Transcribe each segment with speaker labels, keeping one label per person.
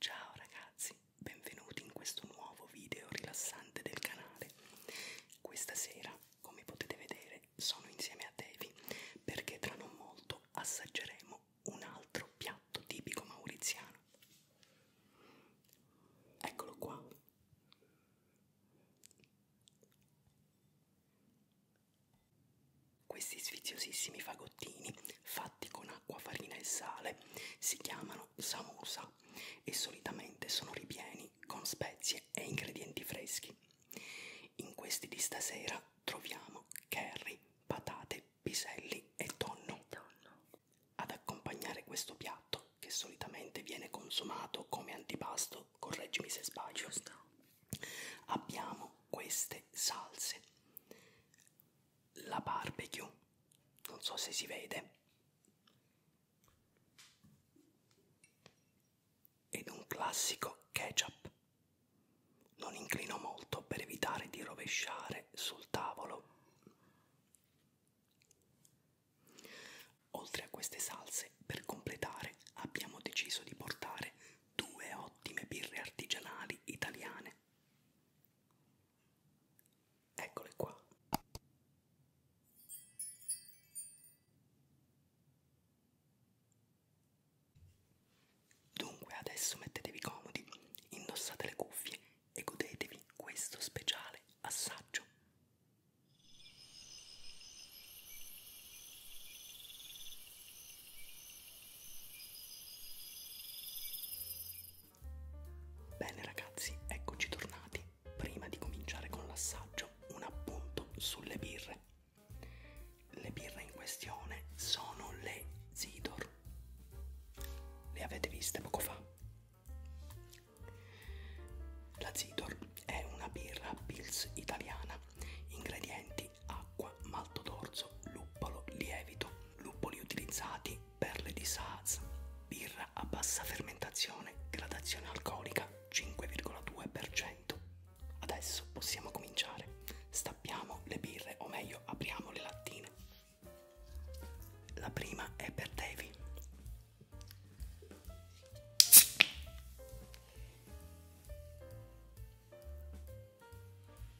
Speaker 1: Ciao ragazzi, benvenuti in questo nuovo video rilassante del canale. Questa sera, come potete vedere, sono insieme a Devi perché tra non molto assaggeremo un altro piatto tipico mauriziano. Eccolo qua. Questi sfiziosissimi fagottini, fatti con acqua, farina e sale, si chiamano samosa e solitamente sono ripieni con spezie e ingredienti freschi. In questi di stasera troviamo curry, patate, piselli e tonno. Ad accompagnare questo piatto, che solitamente viene consumato come antipasto, correggimi se sbaglio, abbiamo queste salse la barbecue non so se si vede ed un classico ketchup non inclino molto per evitare di rovesciare sul tavolo oltre a queste salse per completare abbiamo deciso di portare due ottime birre artigianali italiane. Eccole qua. Dunque adesso mettetevi comodi, indossate le cuffie e godetevi questo speciale assaggio. Bene ragazzi, eccoci tornati. Prima di cominciare con l'assaggio, un appunto sulle birre. Le birre in questione sono le Zidor. Le avete viste poco fa? La Zidor è una birra pils italiana, ingredienti minerali, acqua, malto d'orzo, luppolo, lievito, luppoli utilizzati, perle di Saaz, birra a bassa fermentazione, gradazione alcolica 5,2%. Adesso possiamo cominciare. Stappiamo le birre, o meglio, apriamo le lattine. La prima è per Davy.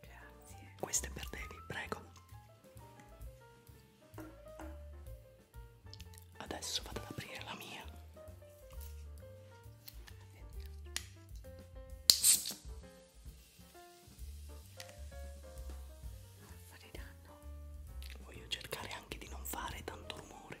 Speaker 1: Grazie. Questo è per Devi, prego. Adesso vado ad aprire la mia. Fare danno. Voglio cercare anche di non fare tanto rumore.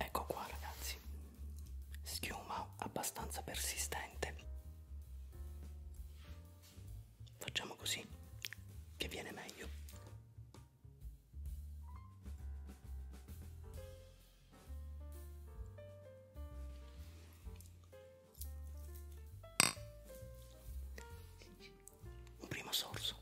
Speaker 1: Ecco qua ragazzi, schiuma abbastanza persistente. Facciamo così, che viene meglio. Un primo sorso.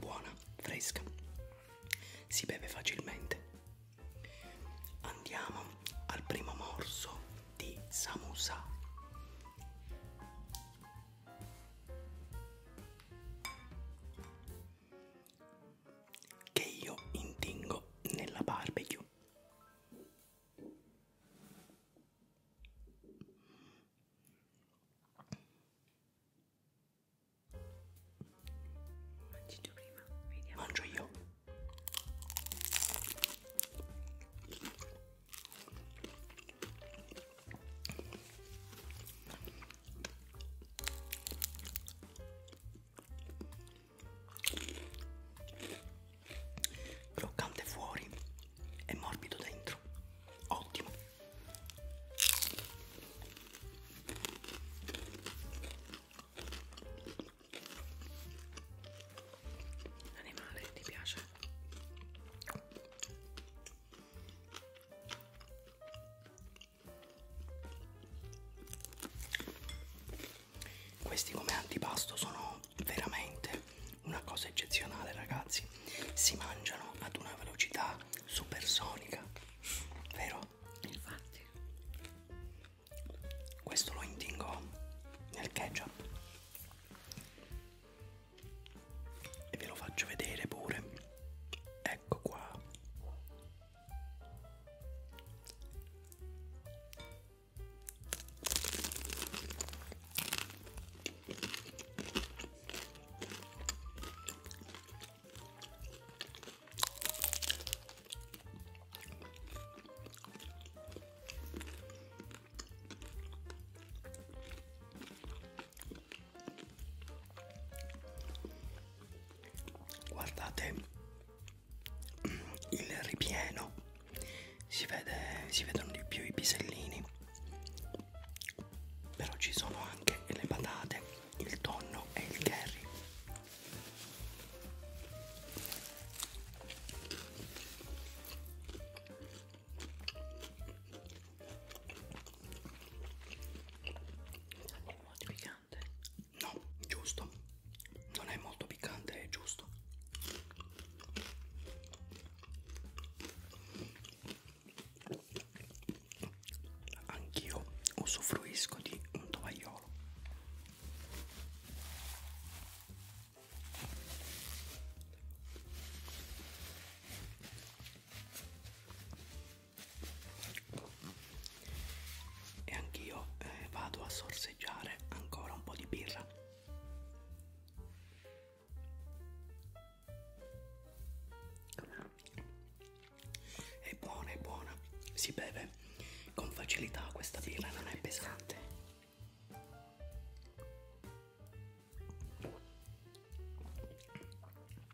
Speaker 1: Buona, fresca. Si beve facilmente. Andiamo al primo morso di samosa che io intingo nella barbecue Mangi tu prima, vediamo. Mangio io croccante fuori e morbido dentro ottimo l'animale ti piace questi come antipasto sono veramente una cosa eccezionale ragazzi, si mangiano ad una velocità supersonica, vero? Infatti. Questo lo intingo nel ketchup e ve lo faccio vedere pure ecco qua guardate il ripieno si, vede, si vedono di più i pisellini però ci sono anche le patate il tonno e il curry non è molto piccante? No, giusto. Non è molto piccante, è giusto. Anch'io usufruisco di un tovagliolo e anch'io eh, vado a sorseggiare ancora un po' di birra è buona è buona si beve con facilità questa birra non è pesante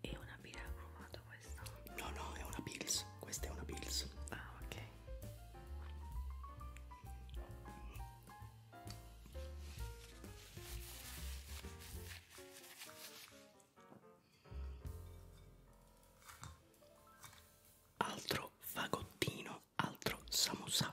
Speaker 1: è una birra profumata questa? No, no, è una pills. Questa è una pills. Ah, ok. Altro fagottino, altro samosa.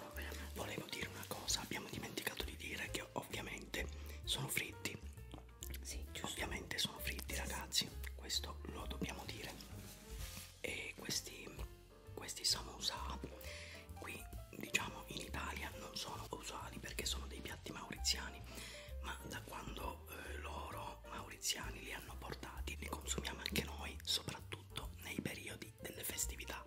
Speaker 1: Volevo dire una cosa, abbiamo dimenticato di dire che ovviamente sono fritti. Sì, giusto. Ovviamente sono fritti ragazzi, questo lo dobbiamo dire. E questi, questi samosa qui diciamo in Italia non sono usuali perché sono dei piatti mauriziani, ma da quando eh, loro mauriziani li hanno portati li consumiamo anche noi, soprattutto nei periodi tempi delle festività.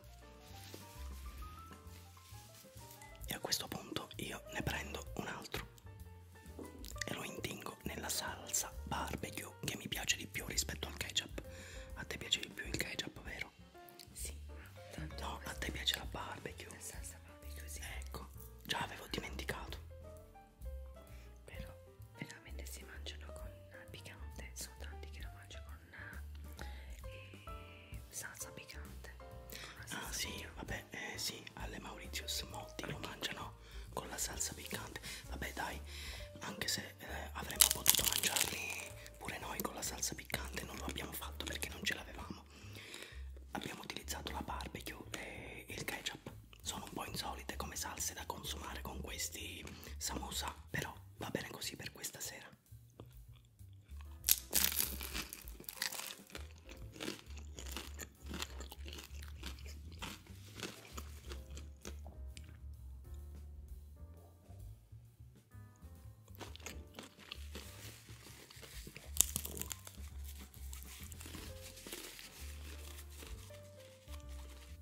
Speaker 1: E a questo punto io ne prendo un altro e lo intingo nella salsa barbecue che mi piace di più rispetto al ketchup. A te piace di più il ketchup, vero? Sì, tanto no, a te piace la barbecue. La salsa barbecue, sì. Ecco, già avevo dimenticato. Però veramente si mangiano con il picante, sono tanti che lo mangiano con eh, salsa piccante. Con ah, salsa ah sì, piccante. vabbè, eh, sì, alle Mauritius molti lo mangiano con la salsa piccante. Vabbè dai, anche se eh, avremmo potuto mangiarli pure noi con la salsa piccante, non lo abbiamo fatto perché non ce l'avevamo. Abbiamo utilizzato la barbecue e il ketchup. Sono un po' insolite come salse da consumare con questi samosa, però va bene così per questa sera.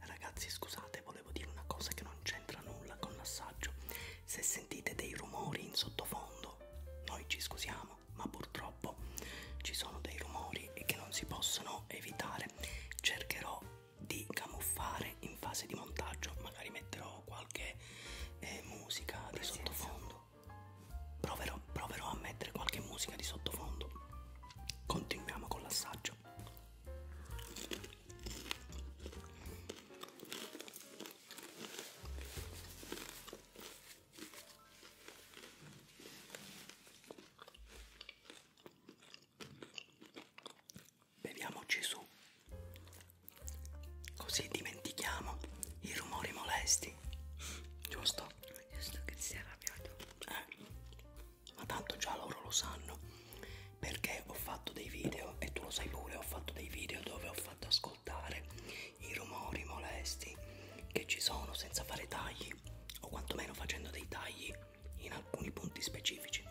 Speaker 1: Ragazzi, scusate, volevo volevo dire una cosa che non c'entra nulla con l'assaggio. Se sentite dei rumori in sottofondo, noi ci scusiamo, ma purtroppo ci sono dei rumori che non si possono evitare. Cercherò di camuffare in fase di montaggio, magari metterò qualche eh, musica di sottofondo. Proverò, proverò a mettere qualche musica di sottofondo. Continuiamo con l'assaggio. Beviamoci su, così dimentichiamo i rumori molesti, giusto? Giusto che si è arrabbiato. Eh, ma tanto già loro lo sanno perché ho fatto dei video e tu lo sai pure ho fatto dei video dove ho fatto ascoltare i rumori molesti che ci sono senza fare tagli o quantomeno facendo dei tagli in alcuni punti specifici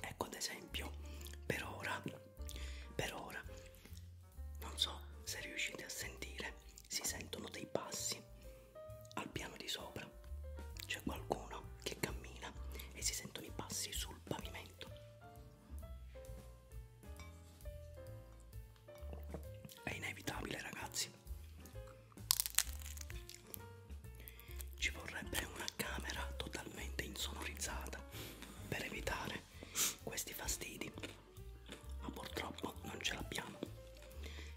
Speaker 1: ecco ad esempio per ora per ora non so se riuscite a sentire si sentono dei passi al piano di sopra c'è qualcuno che cammina e si sentono i passi sul pavimento. È inevitabile, ragazzi. Ci vorrebbe una camera totalmente insonorizzata per evitare questi fastidi ma purtroppo non ce l'abbiamo.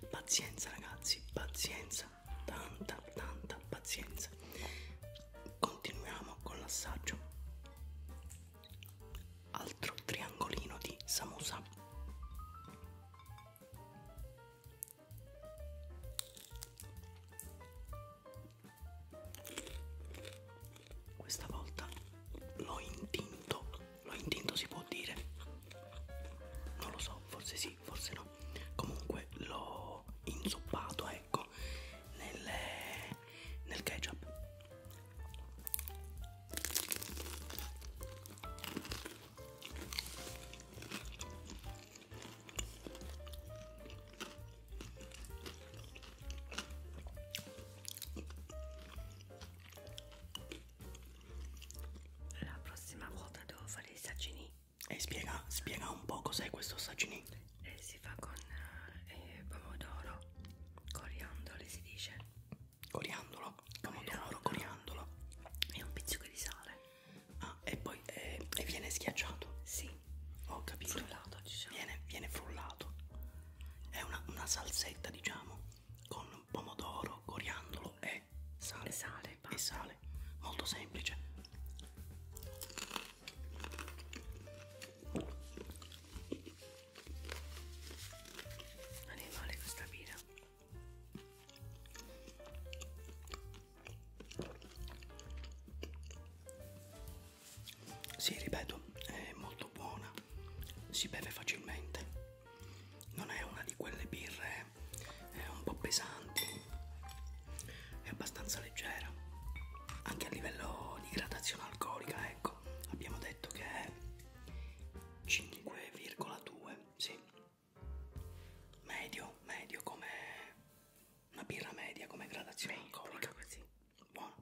Speaker 1: Pazienza ragazzi, pazienza, tanta tanta pazienza. Continuiamo con l'assaggio. Altro triangolino di samosa. Questa volta l'ho intinto ma intinto si può dire non lo so forse sì forse no comunque l'ho inzuppato ecco nelle, nel ketchup la prossima volta devo fare i saccini e spiega, spiega un po' cos'è questo saccini e eh, si fa con eh, eh, pomodoro coriandolo si dice coriandolo pomodoro coriandolo, coriandolo. e un pizzico di sale ah e poi eh, e viene schiacciato Sì. ho capito frullato diciamo viene, viene frullato è una, una salsetta diciamo con pomodoro, coriandolo e sale. E sale, e sale. Molto semplice. Non è male questa birra. Sì, ripeto, è molto buona, si beve facilmente non è una di quelle birre è eh, un po' pesanti è abbastanza leggera anche a livello di gradazione alcolica ecco abbiamo detto che è 5,2 sì medio medio come una birra media come gradazione medio, alcolica così buona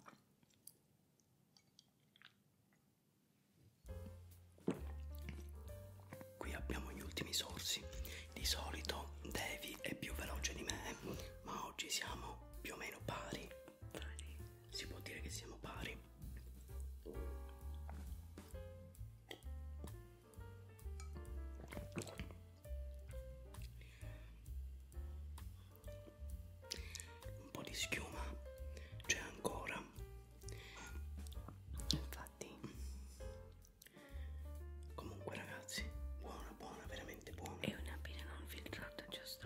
Speaker 1: Qui abbiamo gli ultimi sorsi. Di solito Devi è più veloce di me, ma oggi siamo più o meno pari. Si può dire che siamo pari. Un po' di schiuma c'è ancora infatti comunque ragazzi buona buona veramente buona è una birra non filtrata giusto?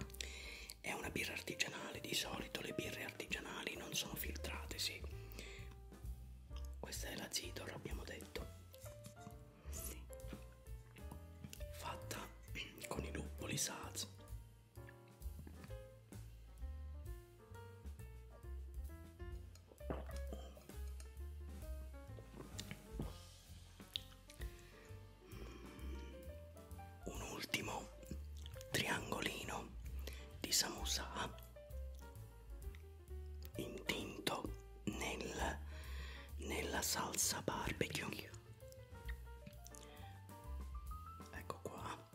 Speaker 1: è una birra artigianale di solito le birre artigianali non sono filtrate sì questa è la Zidor abbiamo detto sì. fatta con i luppoli Saz un ultimo triangolino di samosa intinto nel, nella salsa barbecue ecco qua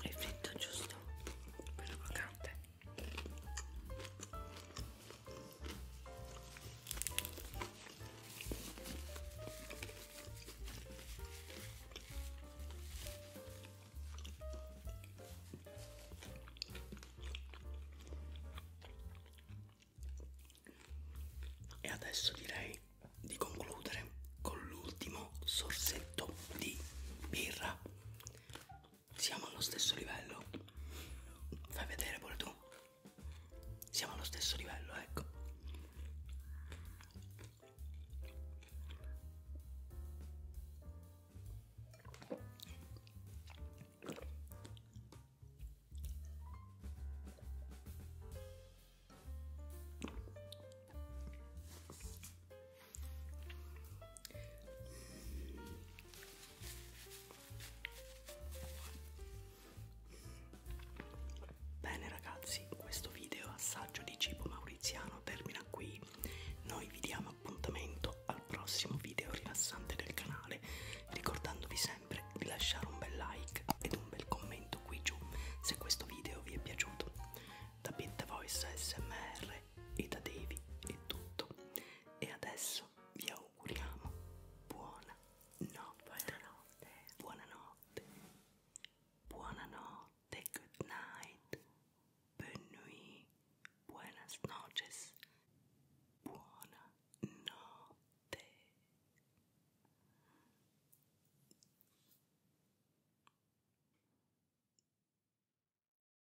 Speaker 1: è fritto giusto per crocante e adesso direi di concludere con l'ultimo sorsetto di birra siamo allo stesso livello. Fai vedere pure tu. Siamo allo stesso livello, ecco. Bene ragazzi, questo video assaggio di cibo mauriziano termina qui. Noi vi diamo appuntamento al prossimo video rilassante del canale, ricordandovi sempre di lasciare un bel like ed un bel commento qui giù se questo video vi è piaciuto. Da Pitta Voice ASMR e da Devi è tutto e adesso vi auguriamo buona notte buonanotte buonanotte buonanotte good night bonne nuit buenas noches buona notte